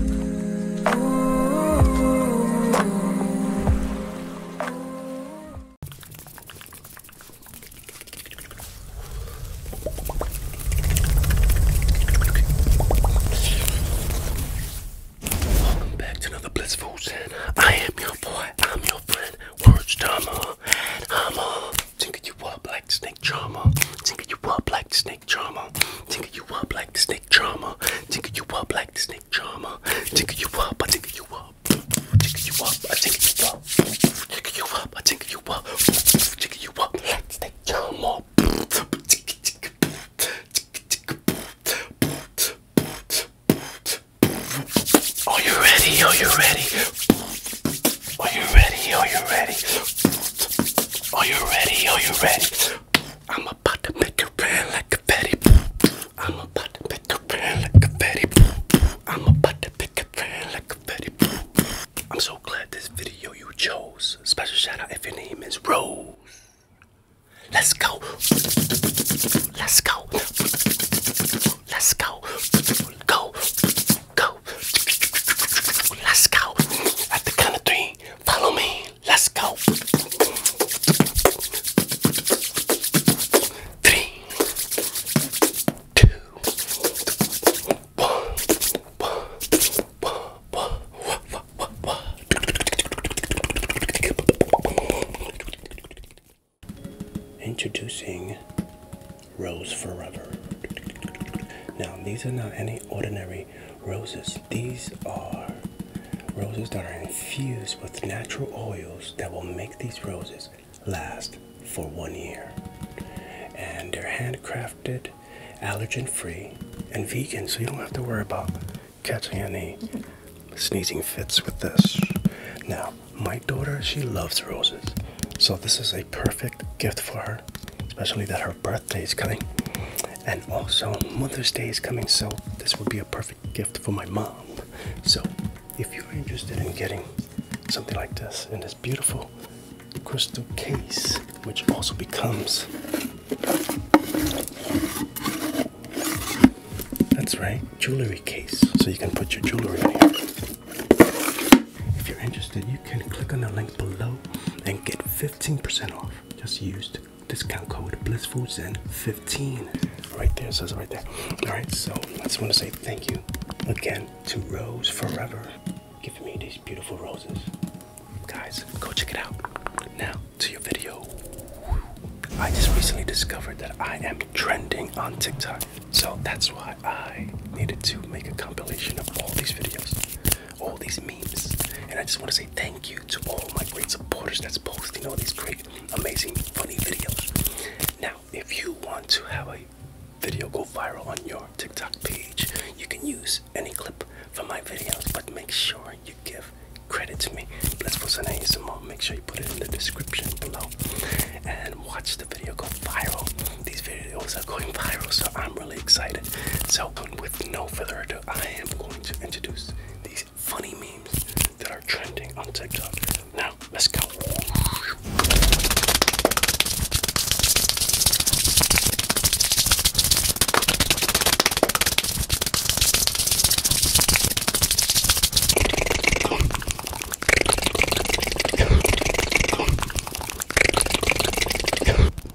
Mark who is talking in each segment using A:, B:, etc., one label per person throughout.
A: Welcome back to another Blissful Zen. I am your boy, I'm your friend, Words Drama, and tinker you up like snake drama, tinker you up like snake drama, tinker you up like snake snake charmer. Tickle you up like the snake charmer. Tickle you up, I tickle you up. Tickle you up, I tickle you up. Tickle you up, I tickle you up. Tickle you up like the snake charmer. Are you ready? Are you ready? Are you ready? Are you ready? Are you ready? Are you ready? I'm about to make it rain like confetti. I'm about to make it rain like confetti. I'm about to make it rain like confetti. I'm so glad this video you chose. Special shout out if your name is Rose. Let's go. Let's go. Let's go. Go. Go. Let's go. At the count of three. Follow me. Let's go. Three, two, one, one, one, one, one, one, one. Introducing Rose Forever. Now, these are not any ordinary roses. These are roses that are infused with natural oils that will make these roses last for one year. And they're handcrafted, allergen free, and vegan, so you don't have to worry about catching any sneezing fits with this. Now, my daughter, she loves roses, so this is a perfect gift for her, especially that her birthday is coming, and also Mother's Day is coming, so this would be a perfect gift for my mom. So, if you're interested in getting something like this in this beautiful crystal case, which also becomes that's right, jewelry case, so you can put your jewelry in here. If you're interested, you can click on the link below and get 15% off just used discount code blissfulzen15 right there says it right there all right so i just want to say thank you again to rose forever giving me these beautiful roses guys go check it out now to your video i just recently discovered that i am trending on tiktok so that's why i needed to make a compilation of all these videos all these memes. And I just want to say thank you to all my great supporters that's posting all these great, amazing, funny videos. Now, if you want to have a video go viral on your TikTok page, you can use any clip from my videos, but make sure you give credit to me. Let's post an ASMR. Make sure you put it in the description below and watch the video go viral. These videos are going viral, so I'm really excited. So, with no further ado, I am going to introduce these funny memes that are trending on TikTok. Now, let's go.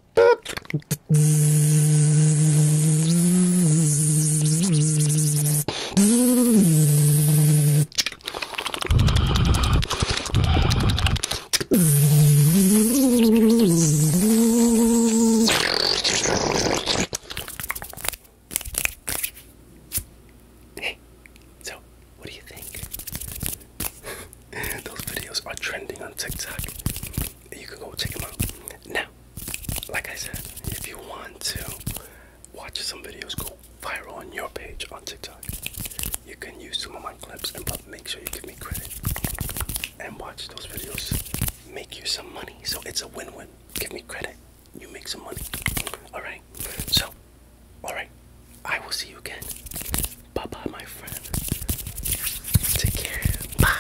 A: Hey, so what do you think? Those videos are trending on TikTok. You can go check them out. Now, like I said, if you want to watch some videos go viral on your page on TikTok, you can use some of my clips and but make sure you give me credit and watch those videos. Make you some money. So it's a win-win. Give me credit. You make some money. Alright. So, alright. I will see you again Bye bye, my friend. Take care. Bye.